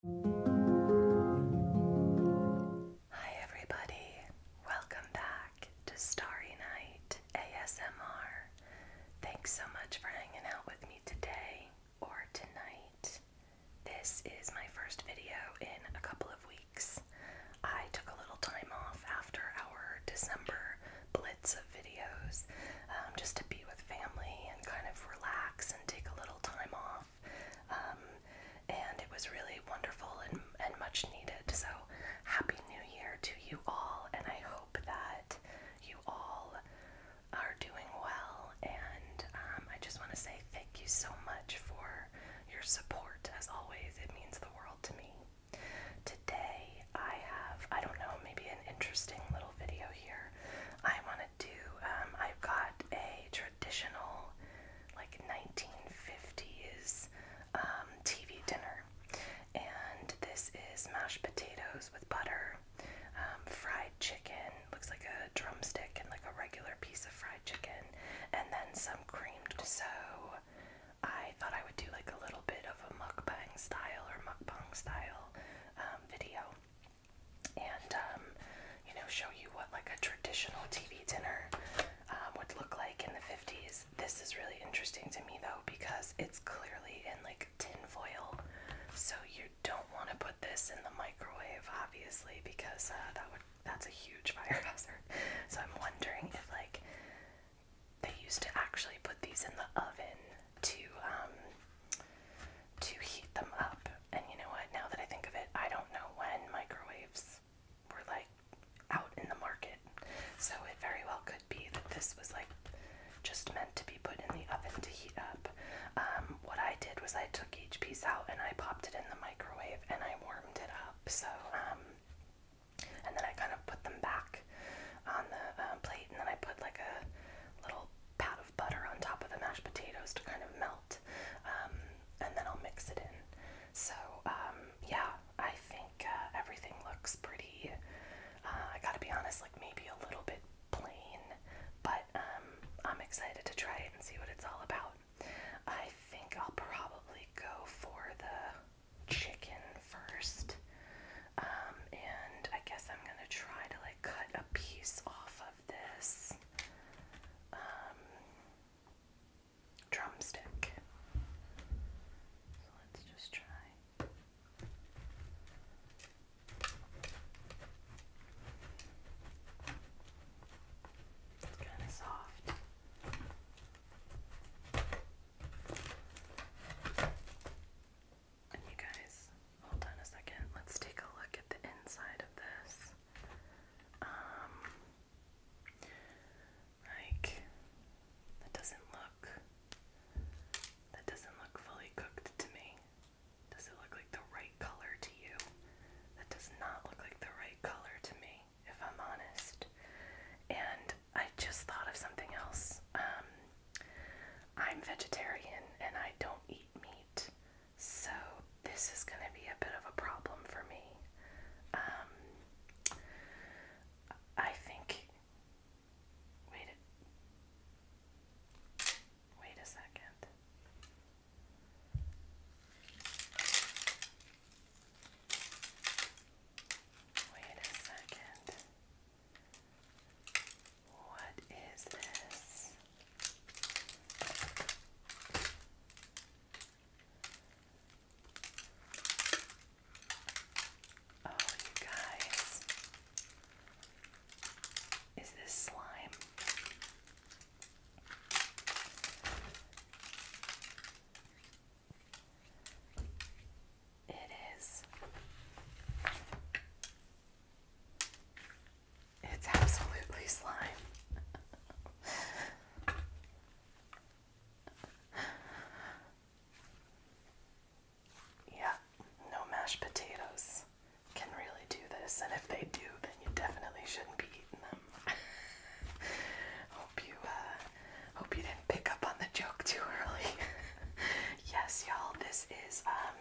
Hi, everybody. Welcome back to Starry Night ASMR. Thanks so much for hanging out with me today or tonight. This is my first video in a couple of weeks. I took a little time off after our December blitz of videos um, just to be with family and kind of relax and take a little time off. Um, and it was really wonderful and, and much needed. So, Happy New Year to you all, and I hope that you all are doing well. And um, I just want to say thank you so much for your support. As always, it means the world to me. Today, I have, I don't know, maybe an interesting little video here. I wanted do. Um, I've got a traditional, like 1950s um, TV dinner, and this is mashed potatoes with butter, um, fried chicken, looks like a drumstick, and like a regular piece of fried chicken, and then some creamed. So I thought I would do like a little bit of a mukbang style or mukbang style video and um, you know show you what like a traditional TV dinner um, would look like in the 50s. This is really interesting to me though because it's clearly in like tin foil, so you don't want to put this in the microwave obviously because uh, that would that's a huge fire hazard. So I'm wondering if like they used to actually put these in the oven to um, to heat them up. And you know what? Now that I think of it, I don't know when microwaves were like out in the market. So it very well could be that this was like just meant to be put in the oven to heat up. Um, what I did was I took each piece out and I popped it in the microwave and I warmed it up. So, um, and then I kind of put them back on the uh, plate and then I put like a little pat butter on top of the mashed potatoes to kind of melt, um, and then I'll mix it in. So, um, yeah, I think uh, everything looks pretty. Uh, I gotta be honest, like maybe a little bit plain, but um, I'm excited to try it and see what it's all about. I think I'll probably go for the chicken first, and I guess I'm gonna try to like cut a piece off of this um, drumstick. It's kind of soft. you guys, Hold on a second. Let's take a look at the inside of this. Um, like that doesn't look that doesn't look fully cooked to me. Does it look like the right color to you? That does not look like the right color to me, if I'm honest. And I just thought of something else. Um, I'm vegetarian and I don't eat meat. So, this is going to be a bit of a problem for me. Um, I think. Wait wait a second. Wait a second. What is this? Oh, you guys. Is this slime? It is. It's absolutely slime. yeah, no mashed potatoes can really do this, and if they do, then you definitely shouldn't be eating them. hope you uh, hope you didn't pick up on the joke too early. yes, y'all, this is um,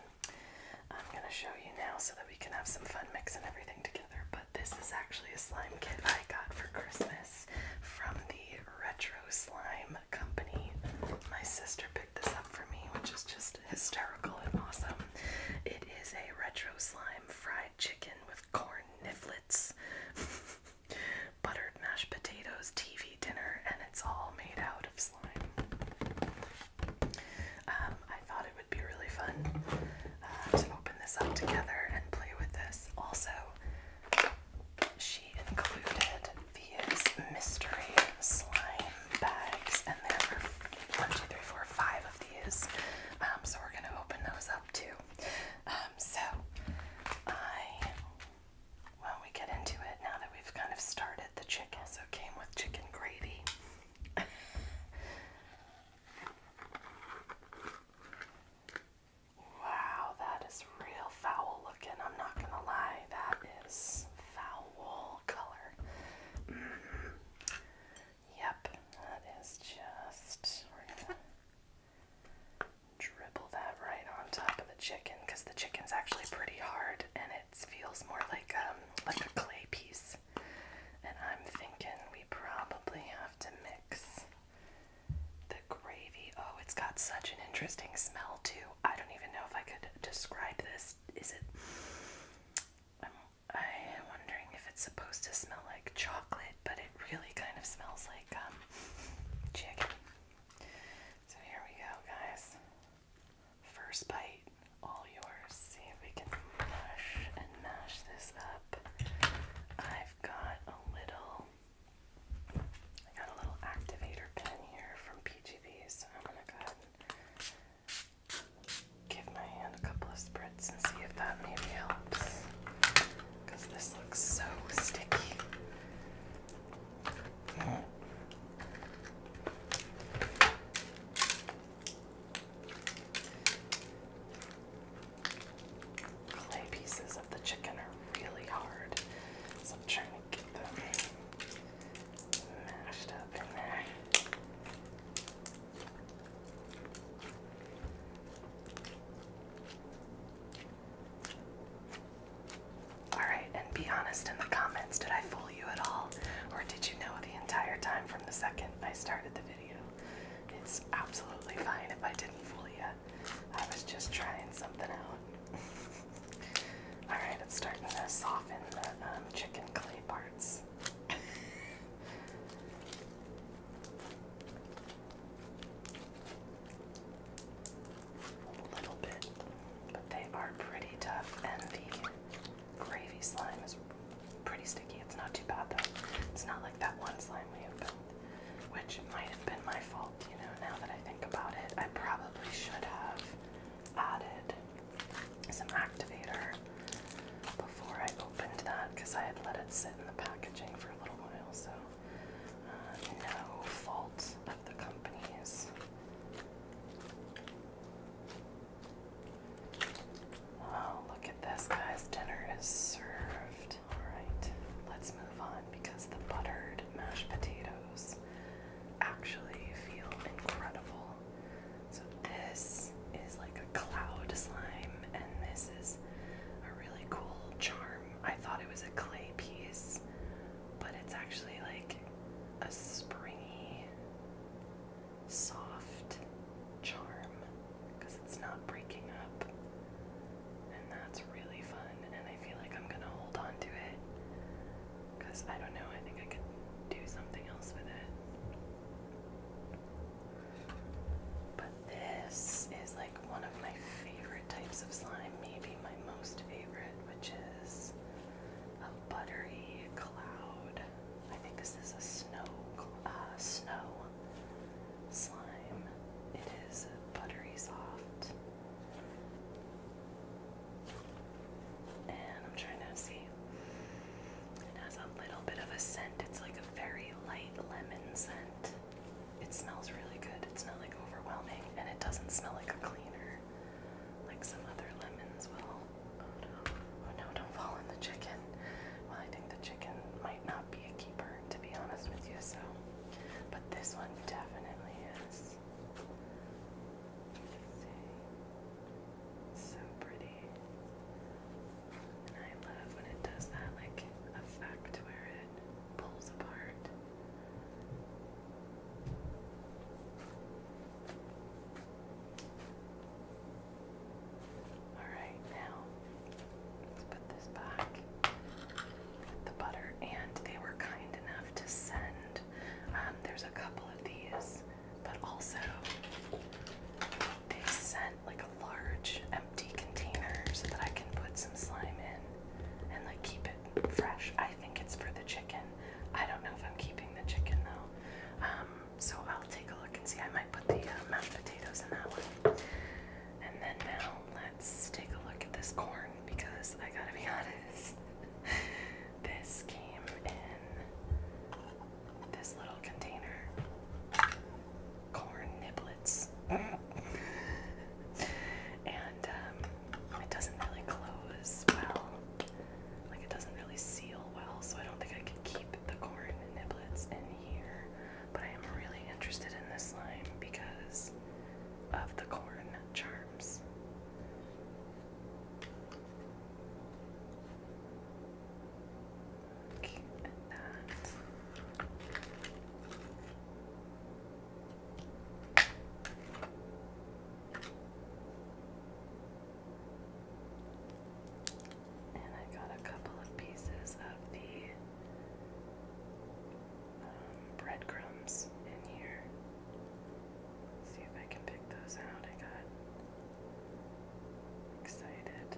I'm going to show you now so that we can have some fun mixing everything together. But this is actually a slime kit I got for Christmas from the Retro Slime Company. My sister picked this up for me, which is just hysterical and awesome. It is a retro slime fried chicken with corn nifflets, buttered mashed potatoes, TV dinner, and it's all made out of slime. Um, I thought it would be really fun uh, to open this up together and play with this. Also, she included these mystery slime bags, and there were one, two, three, four, five of these. Um, so we're gonna open those up too. Um, so I, when we get into it, now that we've kind of started the chicken, so it came with chicken gravy wow, that is real foul looking. I'm not gonna lie, that is foul color. Mm-hmm. Yep, that is just. We're gonna dribble that right on top of the chicken because the chicken's actually pretty hard and it feels more like um like a clay piece. And I'm thinking we probably have to mix the gravy. Oh, it's got such an interesting smell, too. I don't even know if I could describe this. Is it. I'm, I'm wondering if it's supposed to smell like chocolate, but it really kind of smells like um, chicken. So here we go, guys. First bite, all yours. See if we can mush and mash this up. I've got a little I got a little activator pen here from PGB, so I'm gonna go ahead and give my hand a couple of spritz and see if that maybe helps. Because this looks so sticky. Mm. Clay pieces of the chicken are really hard, so I'm trying to get them mashed up in there. Alright, and be honest in the comments. Did I fool you at all, or did you know the entire time from the second I started the video? It's absolutely fine if I didn't fool you. I was just trying something out. Alright, it's starting to soften the um, chicken clay parts. A little bit, but they are pretty tough, and the gravy slime is pretty sticky. It's not too bad though. It's not like that one slime we opened, which might have been my fault, you know, now that I think about it. I probably should have added some activator before I opened that because I had let it sit in the packaging for a little while, so uh, no fault of the company's. Wow, look at this, guys. Dinner is served. Alright, let's move on because the buttered mashed potatoes actually feel incredible. So, this is like a cloud slime, and this is a really cool charm. I thought it was a clay piece, but it's actually like a springy soft charm because it's not breaking up. And that's really fun, and I feel like I'm gonna hold on to it because I don't know, I think I could do something else with it. But this is like one of my favorite types of slime, maybe my most favorite, which is a buttery cloud. I think is a snow uh, snow slime. It is buttery soft. And I'm trying to see. It has a little bit of a scent. It's like a very light lemon scent. It smells really good. It's not like overwhelming and it doesn't smell like a cleaner like some other lemons will. Oh no, don't fall on the chicken. Well, I think the chicken might not be a keeper, to be honest with you, so. But this one definitely is. So pretty. And I love when it does that, like, effect where it pulls apart. Alright, now let's put this back the butter. And they were kind enough to send, um, there's a couple of these, but also they sent like a large empty container so that I can put some slime in and like keep it fresh. I think it's for the chicken. I don't know if I'm keeping the chicken though. Um, so I'll take a look and see. I might put the uh, mashed potatoes in that one. And then now let's take a look at this corn because I gotta be honest, this came in this little container. Corn niblets. and um, it doesn't really close well like it doesn't really seal well, so I don't think I can keep the corn niblets in here. But I am really interested in this slime because of the corn charms. Keep that. And I got a couple of pieces of the um, breadcrumbs in here. see if I can pick those out. I got excited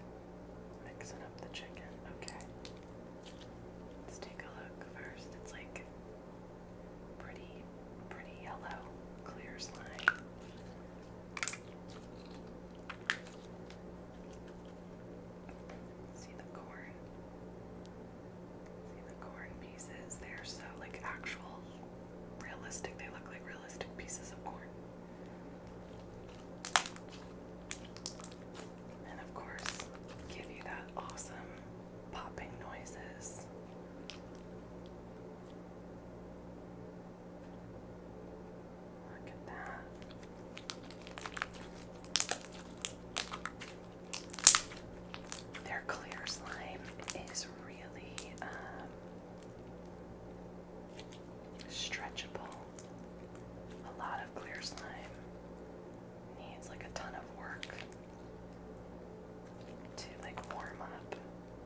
mixing up the chicken. Okay. Let's take a look first. It's like pretty pretty yellow, clear slime. See the corn? See the corn pieces? They're so like actual realistic. They look like realistic pieces of corn. And of course, give you that awesome popping noises. Look at that. Their clear slime is really um, stretchable. A lot of clear slime needs like a ton of work to like warm up,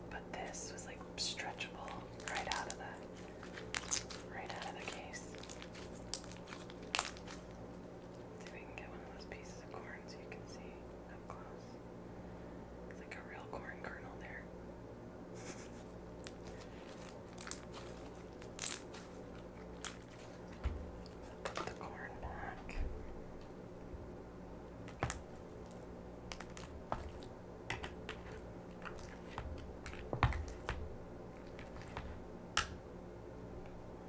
but this was like stretchable right out of the right out of the case. See if we can get one of those pieces of corn so you can see up close. It's like a real corn kernel there. Put the corn back.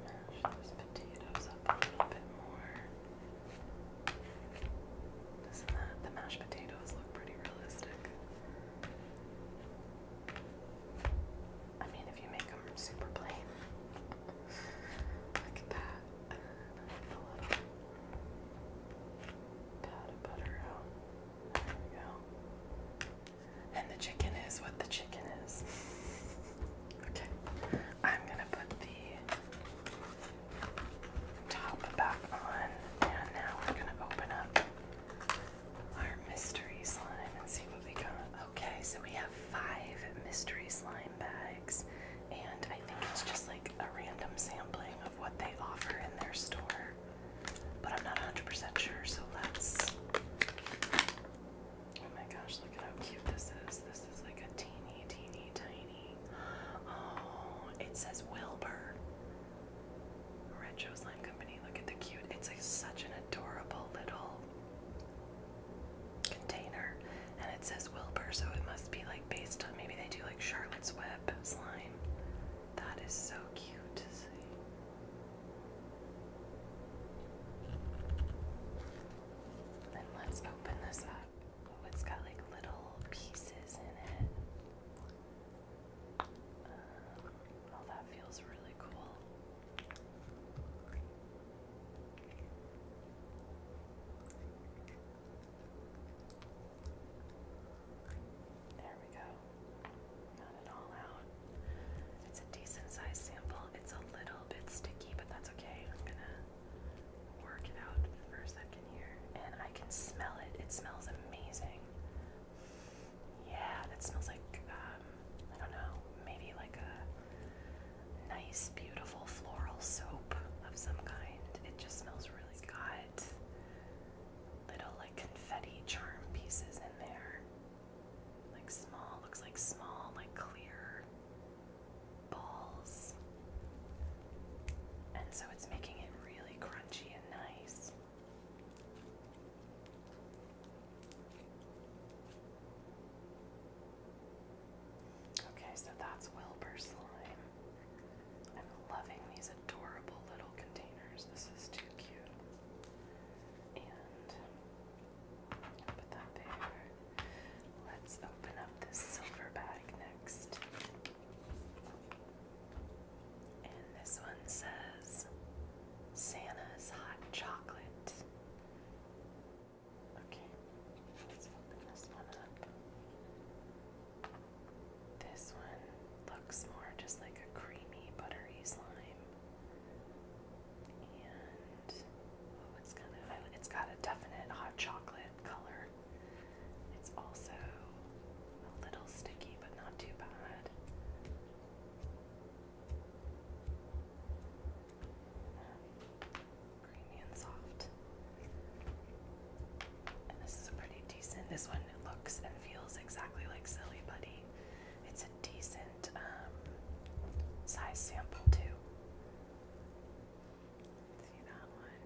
Mash those potatoes up a little bit more. Doesn't that the mashed potatoes look pretty realistic? I mean, if you make them super plain. Look at that. And the chicken is what the chicken is. okay, I'm gonna put the top back on, and now we're gonna open up our mystery slime and see what we got. Okay, so we have five mystery slime bags and I think it's just like a random sampling of what they offer in their store. But I'm not 100% sure, so let's. Oh my gosh, look at how cute this is. This is like a teeny, teeny, tiny. Oh, it says Wilbur. Red Retro Slime Company. Look at the cute. It's like such an adorable little container and it says Wilbur, so it must be like based on maybe they do like Charlotte's Web slime. That is so cute Then let's open this up. Oh, it's got like little pieces in it. Uh, oh, that feels really cool. There we go. Not it all out. It's a decent sized sample. It's a little bit sticky, but that's okay. I'm gonna work it out for a second here. And I can smell it. It smells amazing. Yeah, that smells like, um, I don't know, maybe like a nice, beautiful floral soap of some kind. It just smells really good. little like confetti charm pieces in there. Like small, looks like small, like clear balls. And so it's making it really crunchy and nice. Okay, so that's Wilbur slime. I'm loving these adorable little containers. This is too cute. And put that there. Let's open up this silver bag next. And this one says Santa's Hot Chocolate. Okay, let's open this one up. This one looks more just like a creamy, buttery slime. And oh, it's kind of it's got a definite hot chocolate color. It's also a little sticky, but not too bad and soft. this one looks and feels exactly like Silly Buddy. It's a decent um, size sample too. See that one?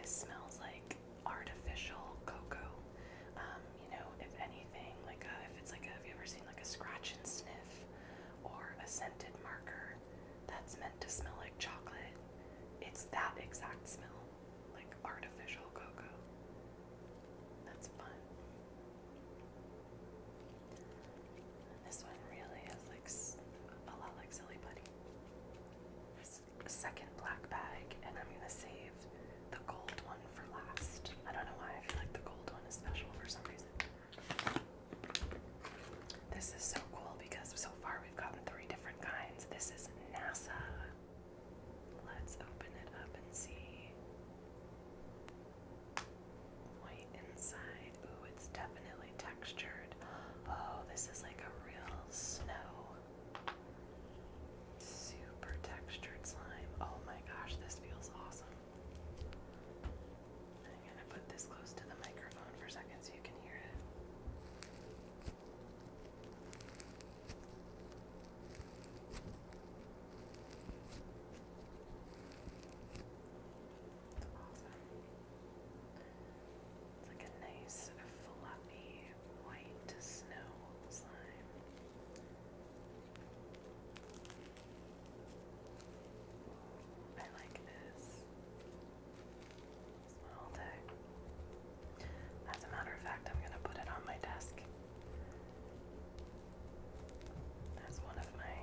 this smells like artificial cocoa. Um, you know, if anything, like if it's like have you ever seen like a scratch and sniff or a scented marker? that's meant to smell like chocolate. It's that exact smell, like artificial cocoa. That's fun. this one really is like a lot like Silly Putty. Second black bag, and I'm gonna save the gold one for last. I don't know why I feel like the gold one is special for some reason. This is so cool because so far we've gotten three different kinds. This is NASA. Let's open it up and see. White inside. Ooh, it's definitely textured. Oh, this is like a real snow. Super textured slime. Oh my gosh, this feels awesome. I'm going to put this close to the microphone for a second so you can hear it. It's like a nice, floppy, white snow slime. I like this. Smell all As a matter of fact, I'm gonna put it on my desk as one of my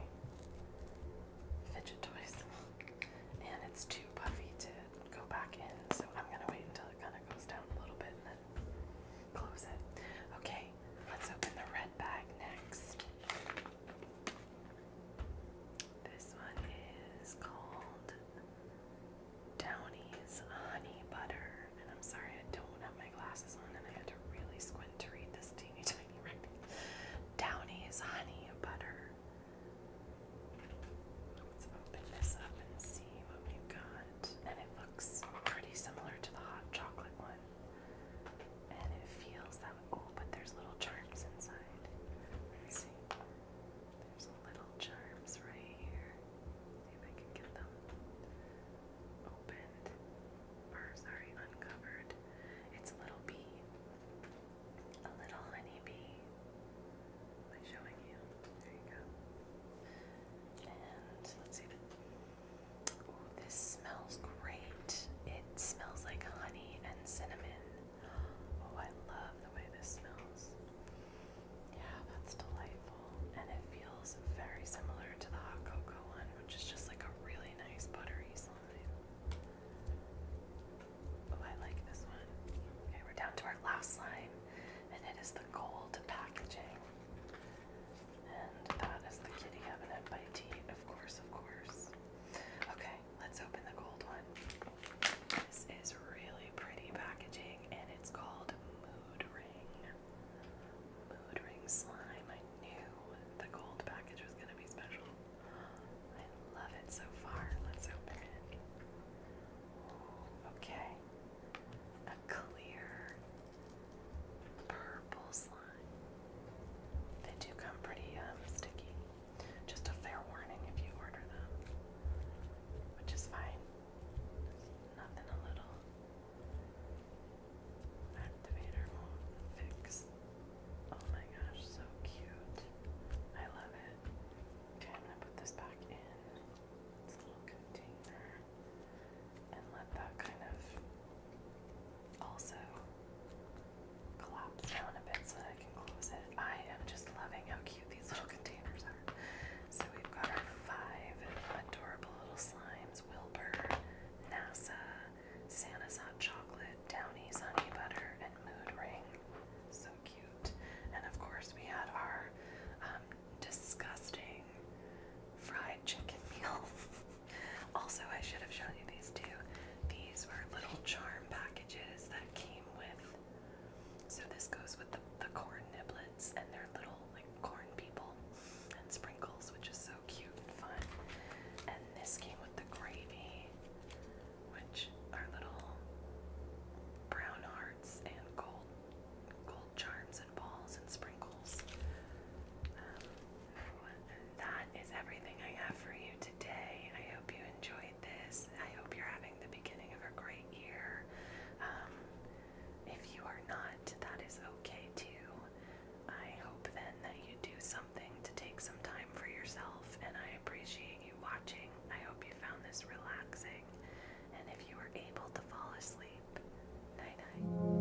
fidget toys. and it's too puffy to go back in, so I'm gonna wait until it kinda goes down a little bit and then close it. Okay, let's open the red bag next. This one is called Downey's Honey Butter. And I'm sorry, I don't have my glasses on, and I had to really squint to read this teeny tiny writing. Downey's Honey Butter. Let's open this up and see what we got. And it looks pretty similar to the hot chocolate one. And it feels that Oh, but there's little charms inside. see. There's little charms right here. See if I can get them opened. Or, sorry, uncovered. It's a little bee. A little honey bee. Am I showing you? There you go. And let's see. Oh, this smells great. It smells like honey and cinnamon. Oh, I love the way this smells. Yeah, that's delightful. And it feels very similar to the hot cocoa one, which is just like a really nice buttery slime. Oh, I like this one. Okay, we're down to our last slime, and it is the gold packaging. And that is the kitty cabinet by T, of course, of course. Okay, Let's open the gold one. This is really pretty packaging and it's called Mood Ring. Mood Ring Slime. I knew the gold package was going to be special. I love it so far. Let's open it. Okay. A clear purple slime. They do come pretty um, sticky. Just a fair warning if you order them, which is fine. nothing a little activator won't fix. Oh my gosh, so cute. I love it. Okay, I'm gonna put this back in its little container and let that kind of also collapse down a bit so that I can close it. I am just loving how cute these little containers are. So we've got our five adorable little slimes Wilbur, NASA, Santa's Hot Chocolate, Downey's Honey Butter, and Mood Ring. So cute. And of course, we had our um, disgusting fried chicken meal. also, I should have shown you these too. These were little charm packages that came with. So this goes with the, the corn niblets and their little like corn people and sprinkles, which is so cute and fun. And this came with the gravy, which are little brown hearts and gold gold charms and balls and sprinkles. Um, that is everything I have for you today. I hope you enjoyed this. I hope you're having the beginning of a great year. Um, if you are not, that is okay too. I hope then that you do something to take some time for yourself, and I appreciate you watching. I hope you found this relaxing, and if you were able to fall asleep, night night.